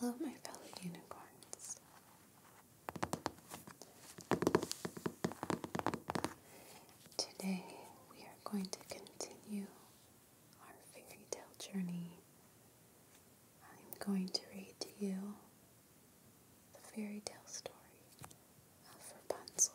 Hello, my fellow unicorns. Today we are going to continue our fairy tale journey. I'm going to read to you the fairy tale story of Rapunzel.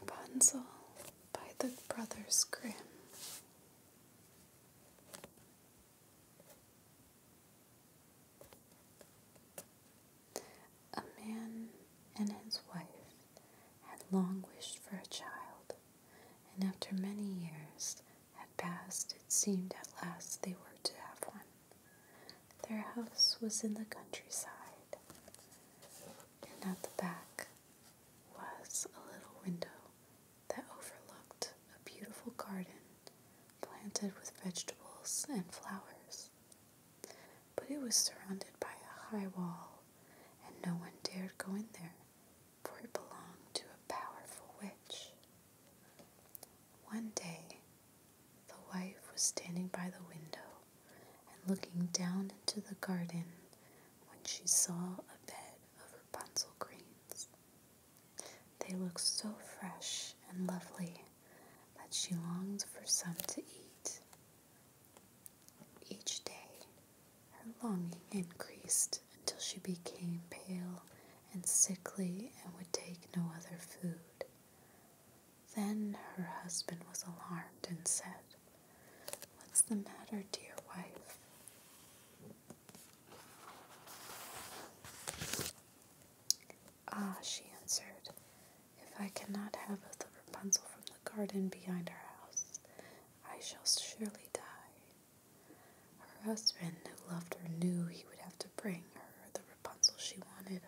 Rapunzel by the Brothers Grimm. A man and his wife had long wished for a child, and after many years had passed, it seemed at last they were to have one. Their house was in the countryside and at the back was a little window that overlooked a beautiful garden planted with vegetables and flowers. But it was surrounded by a high wall, and no one dared go in there, for it belonged to a powerful witch. One day, the wife was standing by the window and looking down into the garden when she saw a bed of Rapunzel greens. They looked so fresh and lovely that she longed for some to eat. Each day, her longing increased until she became pale and sickly and would take no other food. Then her husband was alarmed and said, What's the matter, dear wife? Ah, she answered, if I cannot have the Rapunzel from the garden behind our house, I shall surely die. Her husband, who loved her, knew he would have to bring her the Rapunzel she wanted,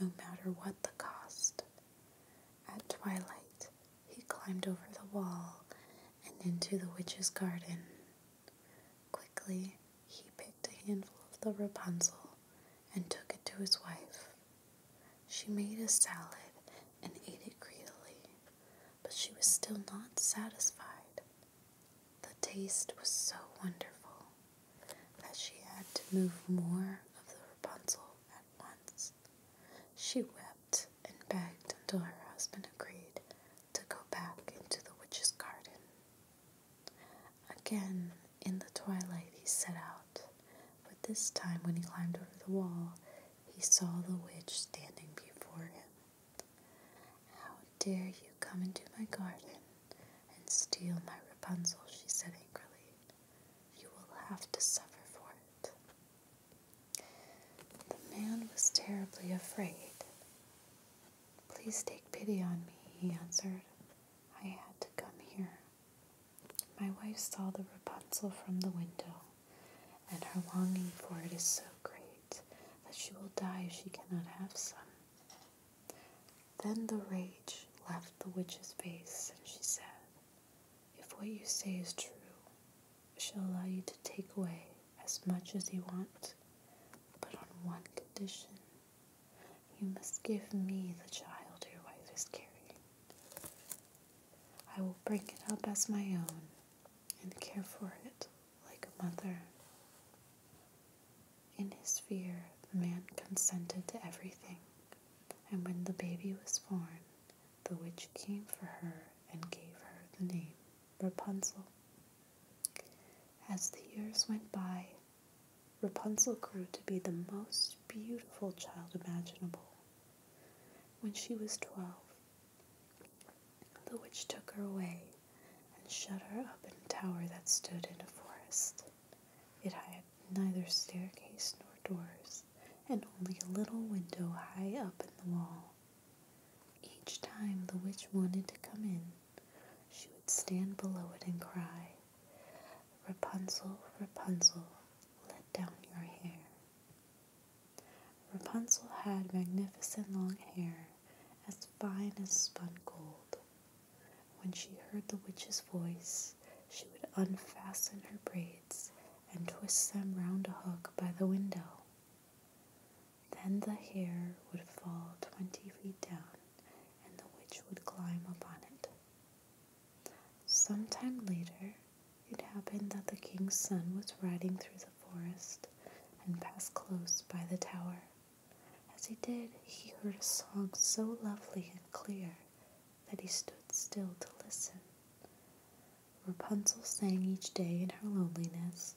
no matter what the cost. At twilight, he climbed over the wall and into the witch's garden. Quickly, he picked a handful of the Rapunzel and took it to his wife. She made a salad and ate it greedily, but she was still not satisfied. The taste was so wonderful that she had to move more of the Rapunzel at once. She wept and begged until her husband agreed to go back into the witch's garden. Again, in the twilight, he set out, but this time when he climbed over the wall, he saw the witch standing before him. How dare you come into my garden? and steal my Rapunzel, she said angrily. You will have to suffer for it. The man was terribly afraid. Please take pity on me, he answered. I had to come here. My wife saw the Rapunzel from the window, and her longing for it is so great that she will die if she cannot have some. Then the rage left the witch's face, and she said, If what you say is true, I shall allow you to take away as much as you want, but on one condition. You must give me the child your wife is carrying. I will bring it up as my own and care for it like a mother. In his fear, the man consented to everything, and when the baby was born, the witch came for her and gave her the name Rapunzel. As the years went by, Rapunzel grew to be the most beautiful child imaginable. When she was twelve, the witch took her away and shut her up in a tower that stood in a forest. It had neither staircase nor doors, and only a little window high up in the wall. Each time the witch wanted to come in, she would stand below it and cry, Rapunzel, Rapunzel, let down your hair. Rapunzel had magnificent long hair, as fine as spun gold, when she heard the witch's voice, she would unfasten her braids and twist them round a hook by the window. Then the hair would fall twenty feet down, and the witch would climb upon it. Some time later, it happened that the king's son was riding through the forest and passed close by the tower. As he did, he heard a song so lovely and clear that he stood still to listen. Rapunzel sang each day in her loneliness,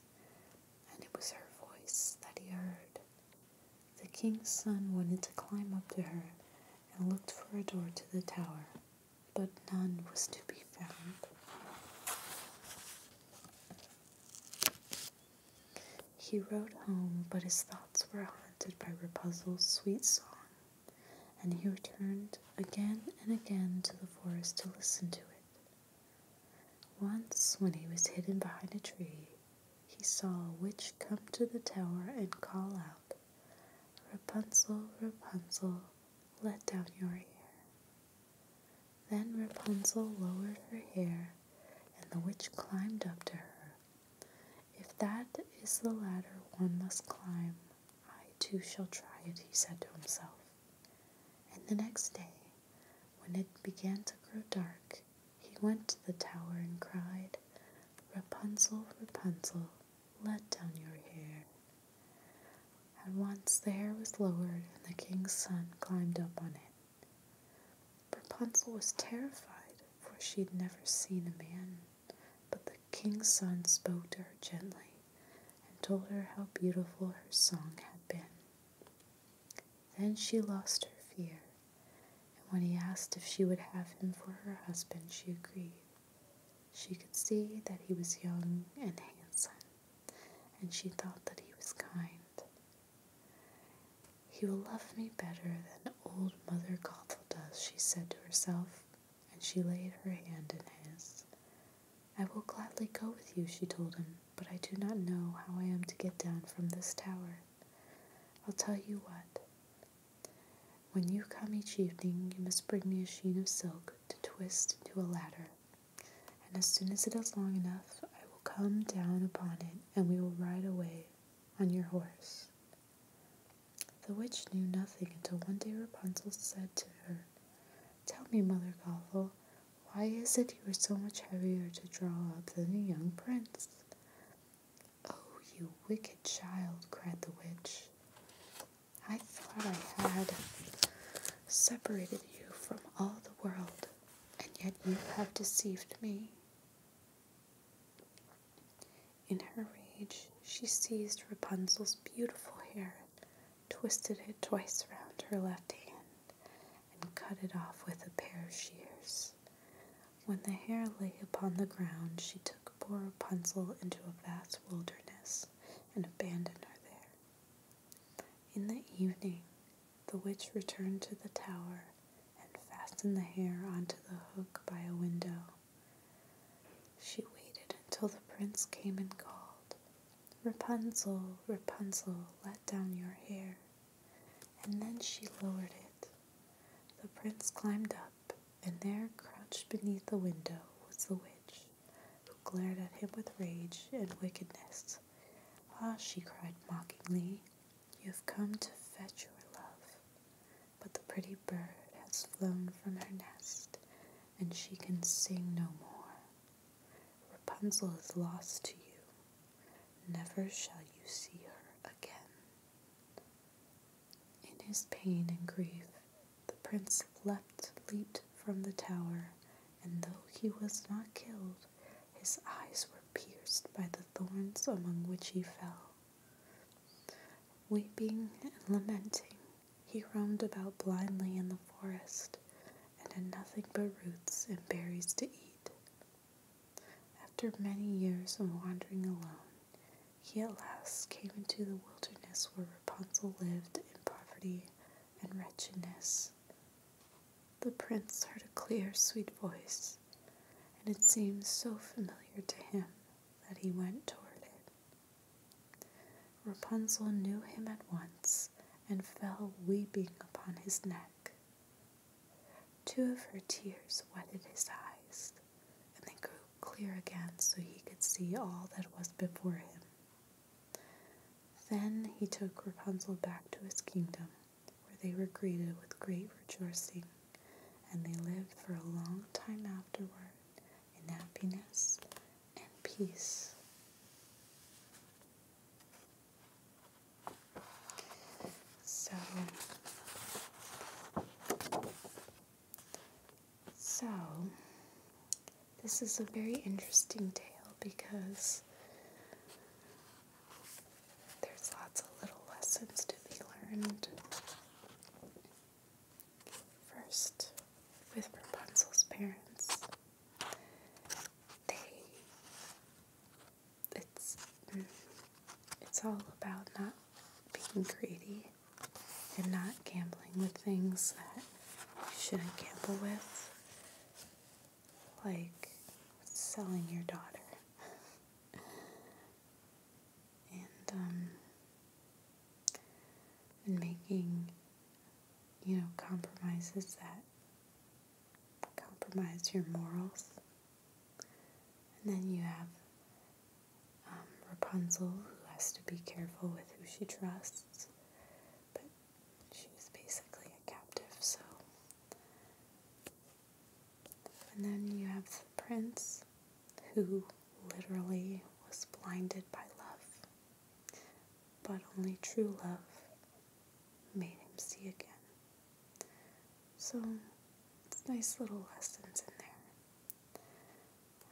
and it was her voice that he heard. The king's son wanted to climb up to her and looked for a door to the tower, but none was to be found. He rode home, but his thoughts were haunted by Rapunzel's sweet song, and he returned again and again to the forest to listen to it. Once, when he was hidden behind a tree, he saw a witch come to the tower and call out, Rapunzel, Rapunzel, let down your hair. Then Rapunzel lowered her hair, and the witch climbed up to her. If that is the ladder one must climb, I too shall try it, he said to himself. And the next day, when it began to grow dark, he went to the tower and cried, Rapunzel, Rapunzel, let down your hair. At once the hair was lowered, and the king's son climbed up on it. Rapunzel was terrified, for she had never seen a man, but the king's son spoke to her gently and told her how beautiful her song had been. Then she lost her fear, and when he asked if she would have him for her husband, she agreed. She could see that he was young and handsome and she thought that he was kind. He will love me better than old Mother Gothel does, she said to herself, and she laid her hand in his. I will gladly go with you, she told him, but I do not know how I am to get down from this tower. I'll tell you what. When you come each evening, you must bring me a sheen of silk to twist into a ladder and as soon as it is long enough, I will come down upon it, and we will ride away on your horse. The witch knew nothing until one day Rapunzel said to her, Tell me, Mother Gothel, why is it you are so much heavier to draw up than the young prince? Oh, you wicked child, cried the witch. I thought I had separated you from all the world, and yet you have deceived me. In her rage, she seized Rapunzel's beautiful hair, twisted it twice round her left hand, and cut it off with a pair of shears. When the hair lay upon the ground, she took poor Rapunzel into a vast wilderness and abandoned her there. In the evening, the witch returned to the tower and fastened the hair onto the hook by a window. She waited until the prince came and called, Rapunzel, Rapunzel, let down your hair. And then she lowered it. The prince climbed up, and there, crouched beneath the window, was the witch who glared at him with rage and wickedness. Ah, she cried mockingly, you have come to fetch your love. But the pretty bird has flown from her nest, and she can sing no more. Rapunzel is lost to you. Never shall you see her again. In his pain and grief, the prince leapt, leaped from the tower, and though he was not killed, his eyes were pierced by the thorns among which he fell. Weeping and lamenting, he roamed about blindly in the forest, and had nothing but roots and berries to eat. After many years of wandering alone, he at last came into the wilderness where Rapunzel lived in poverty and wretchedness. The prince heard a clear, sweet voice, and it seemed so familiar to him that he went toward it. Rapunzel knew him at once and fell weeping upon his neck. Two of her tears wetted his eyes, and they grew clear again so he could see all that was before him. Then he took Rapunzel back to his kingdom, where they were greeted with great rejoicing, and they lived for a long time afterward in happiness and peace. So, so, this is a very interesting tale because there's lots of little lessons to be learned. First, with Rapunzel's parents, they it's mm, it's all about not being greedy and not gambling with things that you shouldn't gamble with, like selling your daughter. and, um, and making, you know, compromises that compromise your morals. And then you have um, Rapunzel, who has to be careful with who she trusts, but she's basically a captive, so. And then you have the prince, who literally was blinded by love, but only true love made him see again. So, it's nice little lessons in there.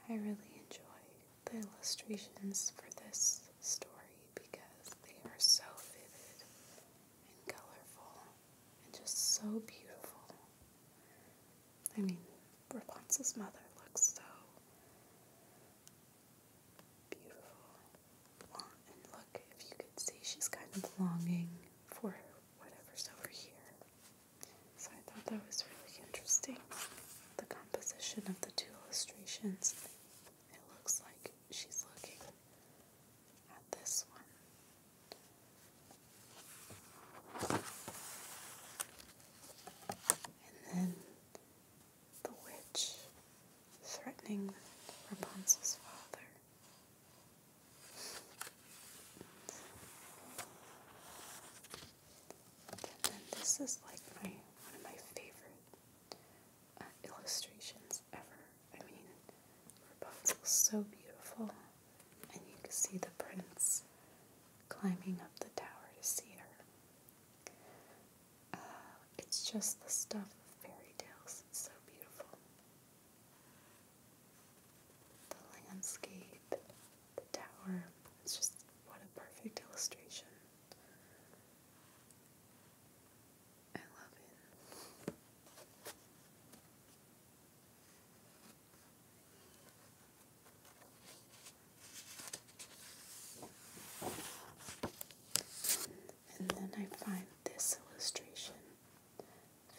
I really enjoy the illustrations for this story because they are so vivid and colorful and just so beautiful. I mean, Rapunzel's mother looks so beautiful. And look, if you could see, she's kind of longing for whatever's over here. So I thought that was really interesting. The composition of the two illustrations. It looks like she's looking at this one. And then the witch threatening Rapunzel's father this is like my one of my favorite uh, illustrations ever. I mean, Rapunzel's so beautiful, and you can see the prince climbing up the tower to see her. Uh, it's just the stuff of fairy tales. It's so beautiful the landscape, the tower. It's just what a perfect illustration. I love it. And then I find this illustration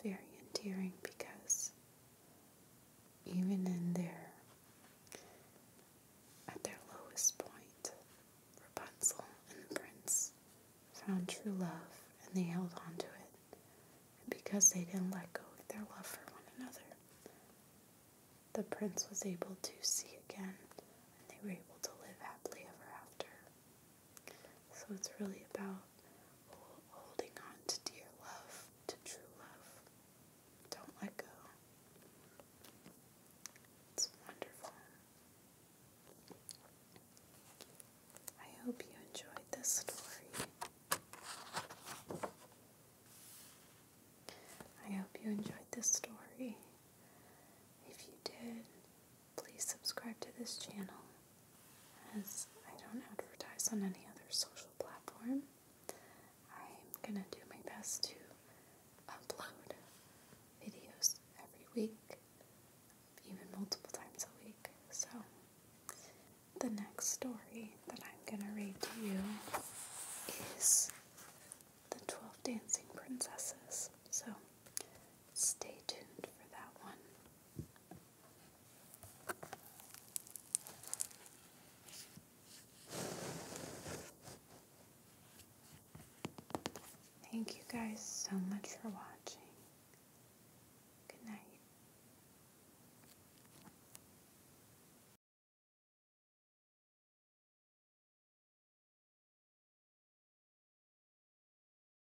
very endearing because even in their at their lowest point, Rapunzel and the prince found true love and they held on to it. And because they didn't let go of their love for one another, the prince was able to see again and they were able to live happily ever after. So it's really about holding on to dear love, to true love. Don't let go. It's wonderful. I hope you enjoyed this story. I hope you enjoyed this story. If you did, Please subscribe to this channel as I don't advertise on any other social platform. I'm gonna do my best to upload videos every week, even multiple times a week. So, the next story that I'm gonna read to you is The 12 Dancing Princesses. So, stay tuned for that one. Thank you guys so much for watching. Good night.